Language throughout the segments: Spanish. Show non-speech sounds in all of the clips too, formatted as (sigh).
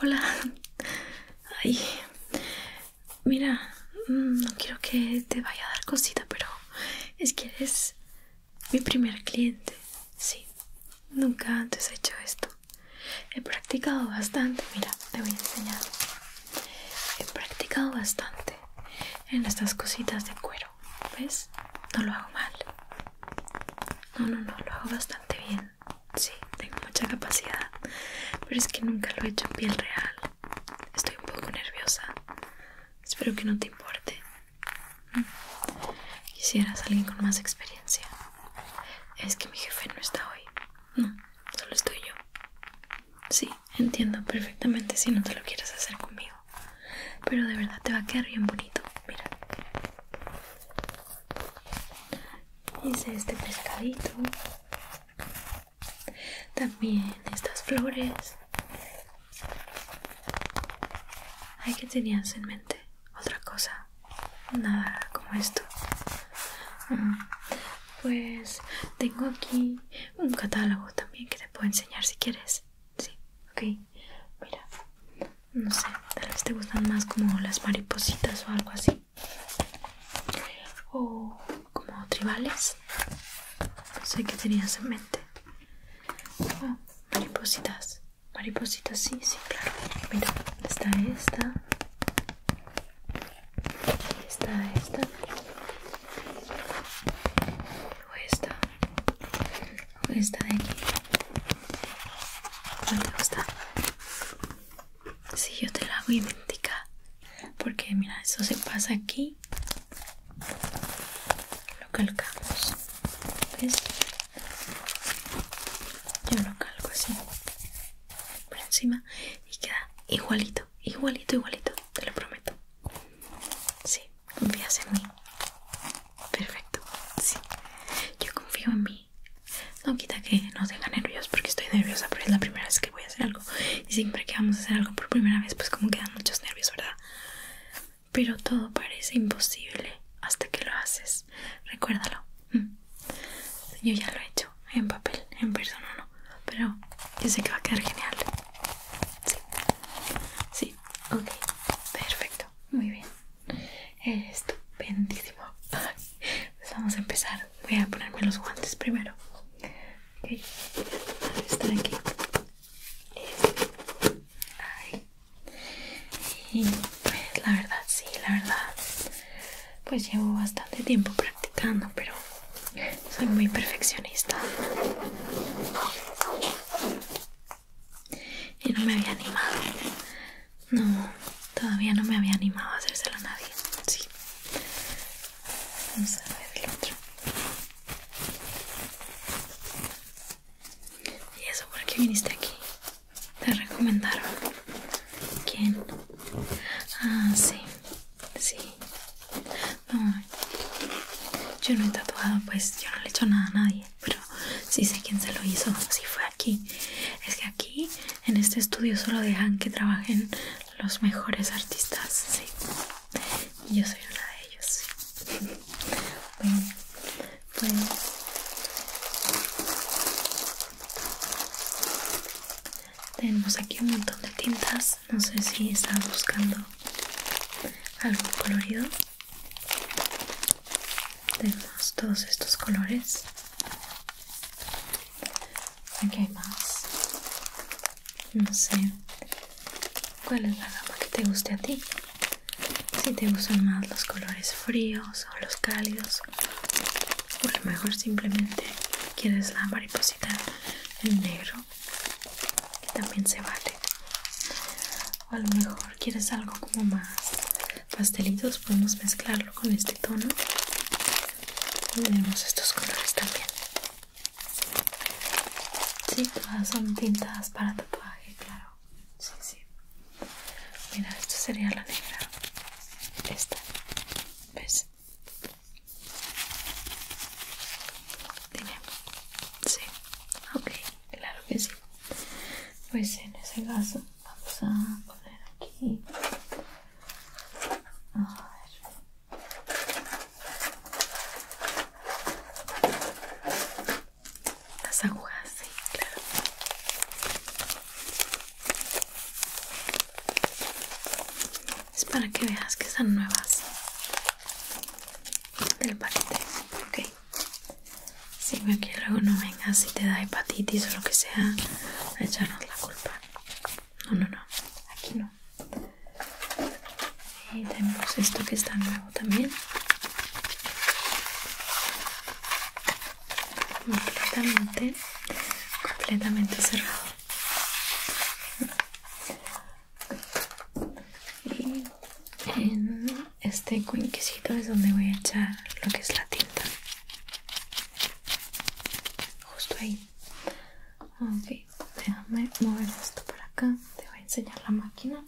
Hola. Mira, mm, no quiero que te vaya a dar cosita, pero es que eres mi primer cliente. Sí, nunca antes he hecho esto. He practicado bastante. Mira, te voy a enseñar. He practicado bastante en estas cositas de cuero. ¿Ves? No lo hago mal. No, no, no, lo hago bastante bien. Sí, tengo mucha capacidad. Pero es que nunca lo he hecho en piel real. Estoy un poco nerviosa. Espero que no te importe. Mm. Quisieras alguien con más experiencia. Es que mi jefe no está hoy. No, solo estoy yo. Sí, Entiendo perfectamente si no te lo quieres hacer conmigo. Pero de verdad te va a quedar bien bonito. Mira. Hice este pescadito. También estas flores. hay que tenías en mente otra cosa. Nada como esto. Mm. Pues tengo aquí un catálogo también que te puedo enseñar si quieres. Sí, ok. Mira, no sé, tal vez te gustan más como las maripositas o algo así. O como tribales. No sé qué tenías en mente. Ah, maripositas. Maripositas, sí, sí, claro. Mira, está esta. Está esta o esta o esta de aquí gusta? si yo te la hago identica porque mira eso se pasa aquí lo calcamos ¿ves? yo lo calco así por encima y queda igualito igualito igualito te lo prometo sí ¿Confías en mí? Perfecto, sí. Yo confío en mí. No quita que nos dejan nervios porque estoy nerviosa, pero es la primera vez que voy a hacer algo. Y siempre que vamos a hacer algo por primera vez, pues como quedan muchos nervios, ¿verdad? Pero todo parece imposible hasta que lo haces. Recuérdalo. Mm. Yo ya lo he hecho en papel, en persona no, pero yo sé que va a quedar genial. Sí. Sí, ok, perfecto, muy bien, estupendísimo. Pues vamos a empezar. Voy a ponerme los guantes primero. Ok, estar aquí. Este, y pues la verdad, sí, la verdad, pues llevo bastante tiempo practicando, pero soy muy perfeccionista. Y no me había animado. No, todavía no me había animado a hacérselo a nadie. Sí. Vamos a ver el otro. ¿Y eso por qué viniste aquí? Te recomendaron. ¿Quién? Ah, sí. Sí. No, yo no he tatuado, pues yo no le he hecho nada a nadie, pero sí sé quién se lo hizo, si fue aquí. Es que aquí, en este estudio, solo dejan que trabajen los mejores artistas, sí. Yo soy una de ellos, sí. Bueno, pues... Tenemos aquí un montón de tintas, no sé si estás buscando algo colorido tenemos todos estos colores aquí hay más no sé cuál es la gama que te guste a ti si te gustan más los colores fríos o los cálidos o a lo mejor simplemente quieres la mariposita en negro que también se vale o a lo mejor quieres algo como más pastelitos podemos mezclarlo con este tono y tenemos estos colores también Sí, todas son tintas para tatuaje, claro. Sí, sí. Mira, esta sería la negra. Esta. ¿Ves? Dime. Sí. Ok, claro que sí. Pues en ese caso vamos a poner aquí. Las agujas, sí, claro. Es para que veas que están nuevas del paquete, ok. si que luego no vengas si te da hepatitis o lo que sea echarnos la culpa. No, no, no, aquí no. Y tenemos esto que está nuevo también. Completamente, completamente cerrado y en este cuenquecito es donde voy a echar lo que es la tinta justo ahí ok déjame mover esto para acá te voy a enseñar la máquina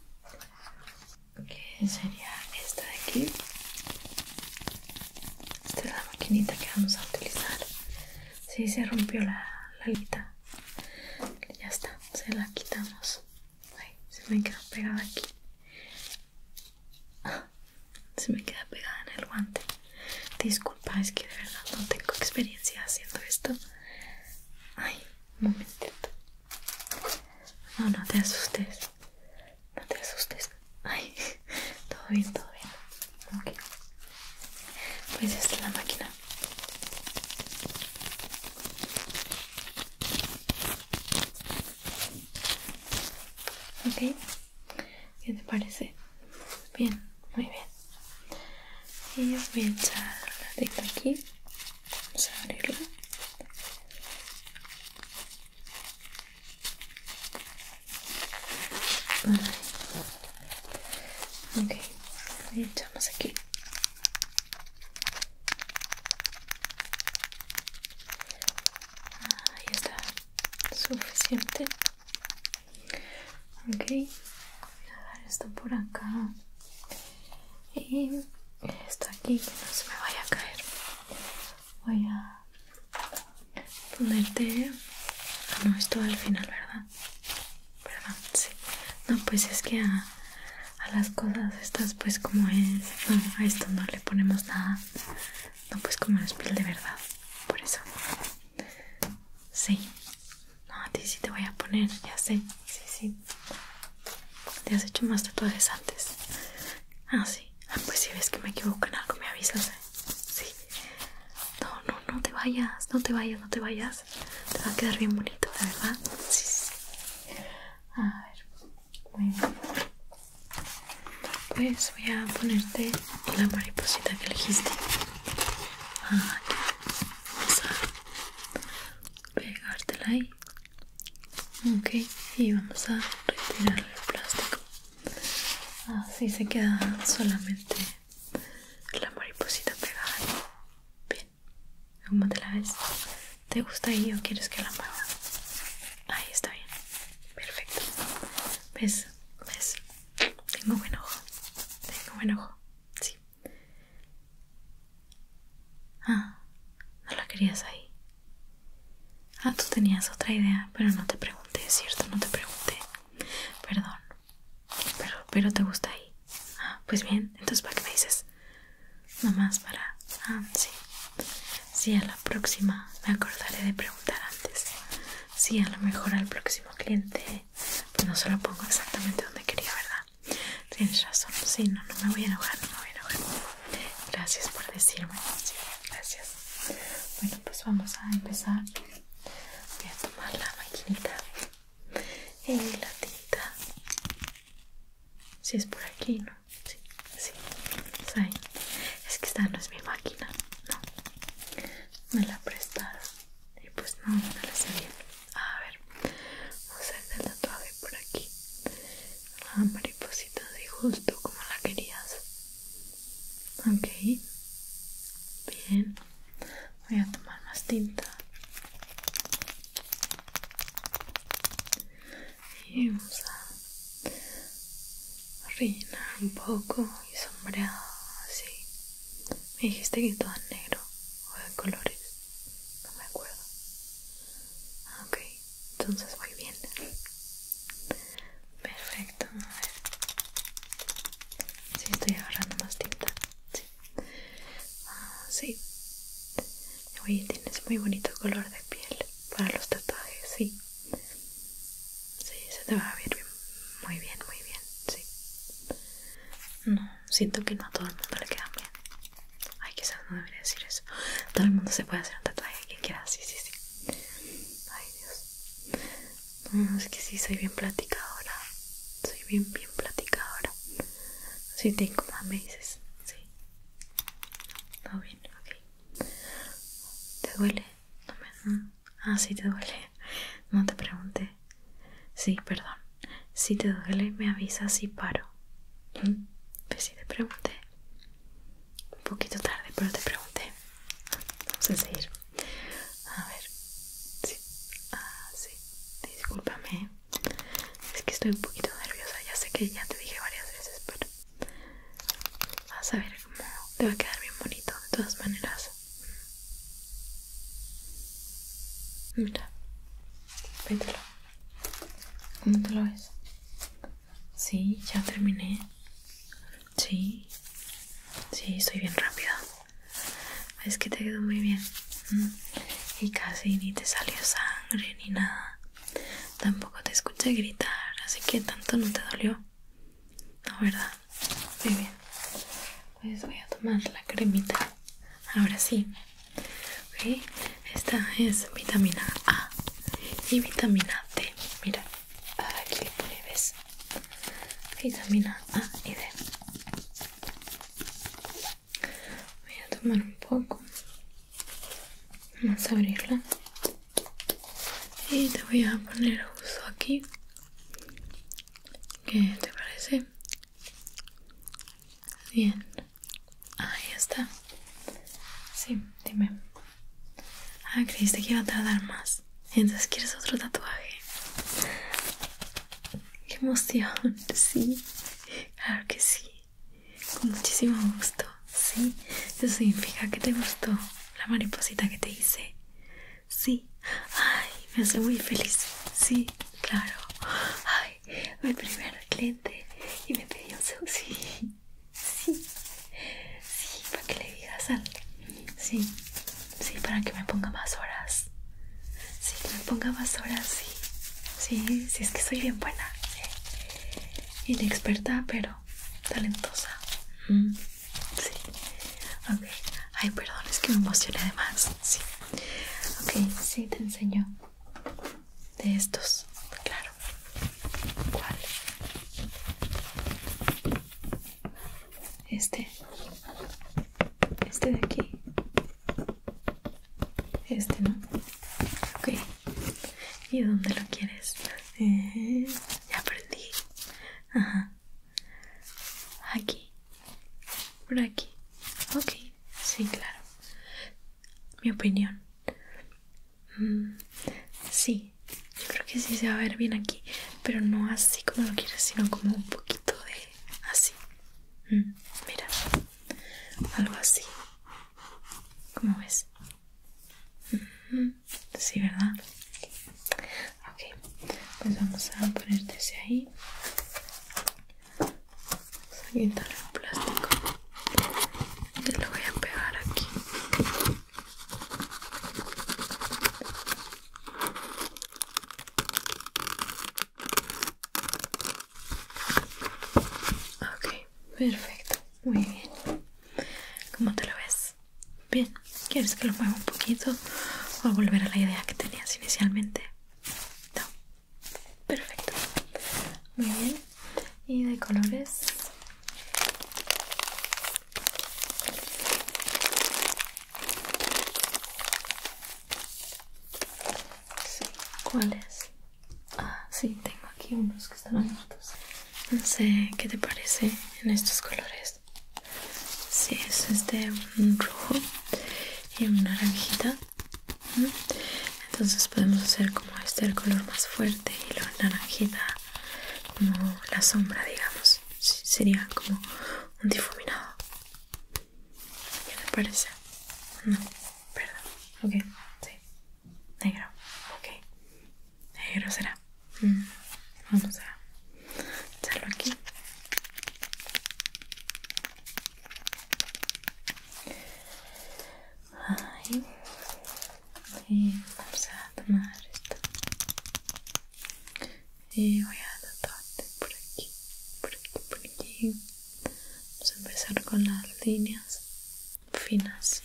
que sería esta de aquí esta es la maquinita que vamos a utilizar si se rompió la, la ya está, se la quitamos. Ay, se me queda pegada aquí. Ah, se me queda pegada en el guante. Disculpa, es que de verdad no tengo experiencia haciendo esto. Ay, un momentito. No, no te asustes. No te asustes. Ay, (laughs) todo bien, todo bien. Ok pues esta es la máquina. Ok, ¿qué te parece? Bien, muy bien. Y yo voy a echar la tecla aquí. Vamos a abrirla. Ok, lo echamos aquí. Ahí está, suficiente. Ok, voy a dar esto por acá. Y esto aquí que no se me vaya a caer. Voy a ponerte... Ah, no, esto al final, ¿verdad? perdón, sí. No, pues es que a, a las cosas estas, pues como es. No, a esto no le ponemos nada. No, pues como es piel de verdad. Por eso. Sí. No, a ti sí te voy a poner, ya sé. Sí, sí. Te has hecho más tatuajes antes. Ah, sí. Ah, pues si ves que me equivoco en algo, me avisas. ¿eh? Sí. No, no, no te vayas, no te vayas, no te vayas. Te va a quedar bien bonito, de verdad. Sí, sí. A ver. Muy bien. Pues voy a ponerte la mariposita que elegiste. Aquí. Vamos a pegártela ahí. Ok, y vamos a retirar el plástico. Así se queda solamente la mariposita pegada. Bien, ¿cómo te la ves? ¿Te gusta ahí o quieres que la mueva? Ahí está bien, perfecto. ¿Ves? ¿Ves? Tengo buen ojo, tengo buen ojo, sí. Ah, no la querías ahí. Ah, tú tenías otra idea, pero no te pregunté, ¿cierto? No te pregunté. Perdón, pero, pero te gusta ahí. Ah, pues bien, entonces para qué me dices. Nomás para. Ah, sí. Sí, a la próxima me acordaré de preguntar antes. si a lo mejor al próximo cliente. Pues no se lo pongo exactamente donde quería, ¿verdad? Tienes razón. si no, me voy a enojar, no me voy a enojar. Gracias por decirme. gracias. Bueno, pues vamos a empezar. Voy a tomar la maquinita y la tinta si es por aquí no sí, sí. Es, ahí. es que esta no es mi máquina no me la prestaron y pues no no la sé bien a ver vamos a hacer la tatuaje por aquí la mariposita de justo como la querías ok bien voy a tomar más tinta y vamos a rellenar un poco y sombrear así me dijiste que todo es negro o de colores no me acuerdo ah, ok entonces muy bien perfecto a ver si estoy agarrando más tinta sí Ah Sí. Oye, tienes muy bonito color de piel para los tatuajes, sí. Sí, se te va a ver muy bien, muy bien, sí. No, siento que no a todo el mundo le queda bien. Ay, quizás no debería decir eso. Todo el mundo se puede hacer un tatuaje que quiera, sí, sí, sí. Ay, Dios es que sí, soy bien platicadora. Soy bien, bien platicadora. Si te incomoda, me dices. Sí. todo bien, ok. ¿Te duele? No Ah, sí, te duele. No te pregunté. Sí, perdón. Si te duele, me avisas y paro. ¿Mm? Pues sí, te pregunté. Un poquito tarde, pero te pregunté. Vamos a seguir. A ver, sí, ah, sí, discúlpame. Es que estoy un poquito nerviosa. Ya sé que ya te dije varias veces, pero vas a ver cómo te va a quedar bien bonito de todas maneras. Mira, véntelo. ¿Cómo te lo ves? Sí, ya terminé. Sí, sí, soy bien rápida. Es que te quedó muy bien. Mm. Y casi ni te salió sangre ni nada. Tampoco te escuché gritar, así que tanto no te dolió. No, ¿verdad? Muy bien. Pues voy a tomar la cremita. Ahora sí. Esta es vitamina A y vitamina D. Mira, aquí le ¿ves? vitamina A y D. Voy a tomar un poco. Vamos a abrirla. Y te voy a poner justo aquí. ¿Qué te parece? Bien. Ahí está. Sí, dime. Ah, creíste que iba a tardar más. Entonces, ¿quieres otro tatuaje? ¡Qué emoción! Sí, claro que sí. Con muchísimo gusto, sí. Eso significa que te gustó la mariposita que te hice. Sí, ay, me hace muy feliz. Sí, claro. Ay, el primer cliente y me pidió un Sí, sí, sí, para que le digas algo Sí, sí, para que me ponga más horas. Sí, que me ponga más horas, sí. Sí, es que soy bien buena. Inexperta, pero talentosa. Mm, sí. Ok. Ay, perdón, es que me emocioné de más. Sí. Ok, sí, te enseño. De estos, claro. ¿Cuál? este, este de aquí, este, ¿no? Ok, ¿y dónde lo quieres? Eh, ya aprendí, ajá, aquí, por aquí, ok, sí, claro, mi opinión. Mm, sí, yo creo que sí se va a ver bien aquí, pero no así como lo quieres, sino como un poquito de así. Mm, mira, algo así. ¿Cómo ves? Sí, ¿verdad? Ok, pues vamos a ponerte ese ahí. Vamos a quitar el plástico. Te lo voy a pegar aquí. Ok, perfecto, muy bien. ¿Cómo te lo ves? Bien, ¿quieres que lo mueva un poquito o volver a la idea que tenías inicialmente? No, perfecto, muy bien. ¿Y de colores? Sí, ¿Cuáles? Ah, sí, tengo aquí unos que están abiertos. No sé qué te parece en estos colores. Sí, eso es de este, un rojo y un naranjita. Entonces podemos hacer como este el color más fuerte y luego naranjita como la sombra, digamos. sería como un difuminado. ¿Qué te parece? No, perdón. Ok, sí. Negro. Ok. Negro será. Vamos mm, a echarlo aquí. vamos a tomar esto y voy a tatuarte por aquí, por aquí, por aquí. Vamos a empezar con las líneas finas.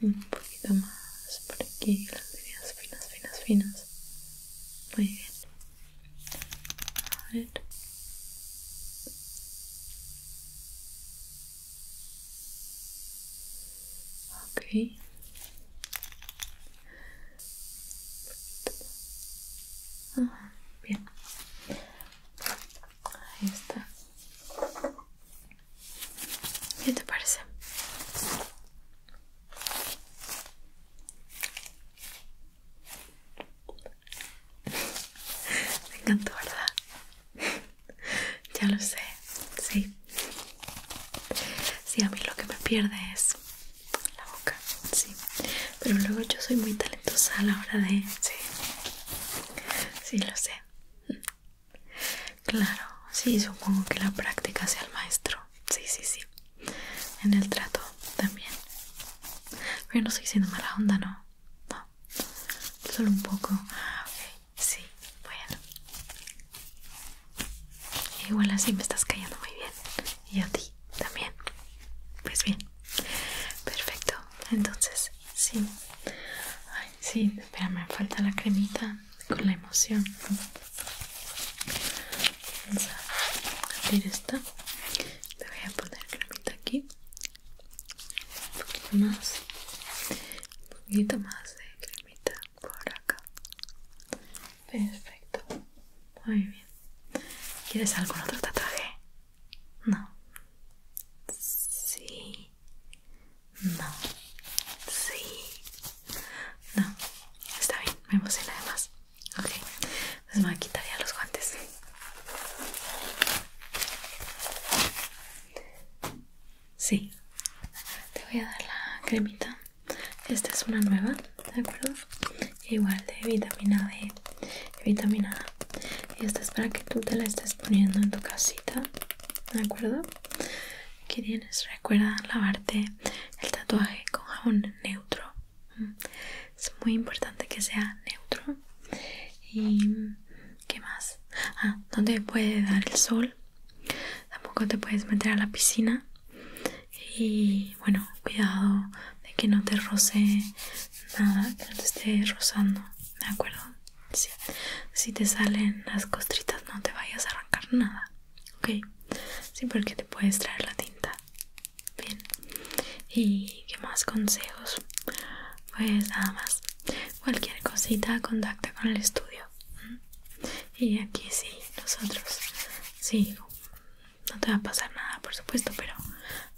Un poquito más por aquí, las líneas finas, finas, finas. Muy bien. A ver ok bien ahí está ¿qué te parece? (laughs) Me encantó, ¿verdad? (laughs) ya lo sé, sí. Sí, a mí lo que me pierde es la boca, sí. Pero luego yo soy muy talentosa a la hora de... Sí, sí lo sé. Claro, sí, supongo que la práctica sea el maestro. Sí, sí, sí. En el trato también. Pero no estoy siendo mala onda, ¿no? No. Solo un poco. Ah, ok. Sí, bueno. Igual así me estás cayendo muy bien. Y a ti también. Pues bien. Perfecto. Entonces, sí. Ay, sí, espérame, falta la cremita con la emoción. Vamos a abrir esta. Le voy a poner cremita aquí. Un poquito más. Un poquito más de cremita por acá. Perfecto. Muy bien. ¿Quieres algún otro tatuaje? No. Sí. No. Sí. No. Está bien, me emociona además. Ok. Entonces me voy a quitar ya los guantes. Sí. Te voy a dar la cremita esta es una nueva, ¿de acuerdo? Igual de vitamina D vitamina A. Y esta es para que tú te la estés poniendo en tu casita, ¿de acuerdo? Aquí tienes, recuerda lavarte el tatuaje con jabón neutro. Mm, es muy importante que sea neutro. ¿Y qué más? Ah, dónde puede dar el sol tampoco te puedes meter a la piscina y bueno cuidado de que no te roce nada que no te esté rozando de acuerdo si te salen las costritas no te vayas a arrancar nada ok sí porque te puedes traer la tinta bien y qué más consejos pues nada más cualquier cosita contacta con el estudio ¿Mm? y aquí sí, nosotros sí, no te va a pasar nada por supuesto, pero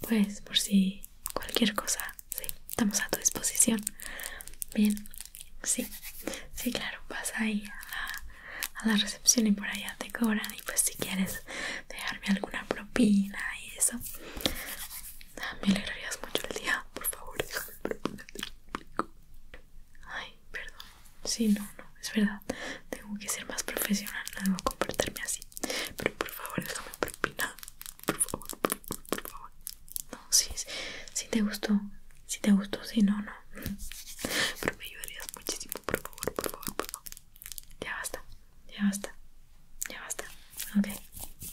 pues por si cualquier cosa, sí, estamos a tu disposición. Bien, sí, sí, claro, vas ahí a la, recepción y por allá te cobran y pues si quieres dejarme alguna propina y eso, ah, me alegrarías mucho el día, por favor, déjame te Ay, perdón, Sí, no, no, es verdad. Tengo que ser más profesional, no debo comportarme así. Pero por favor, déjame propinar Por favor, por, favor, por favor. No, sí, sí, te gustó. Si sí te gustó, si sí, no, no. (laughs) Pero me ayudarías muchísimo, por favor, por favor, por favor. Ya basta, ya basta, ya basta. Ok,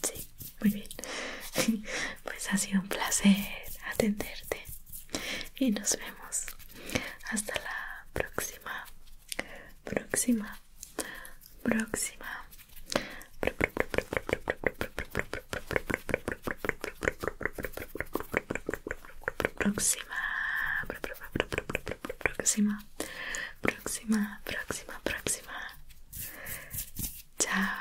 sí, muy bien. (laughs) Pues ha sido un placer atenderte y nos vemos hasta la próxima, próxima, próxima. Próxima, próxima, próxima, próxima, próxima. Chao.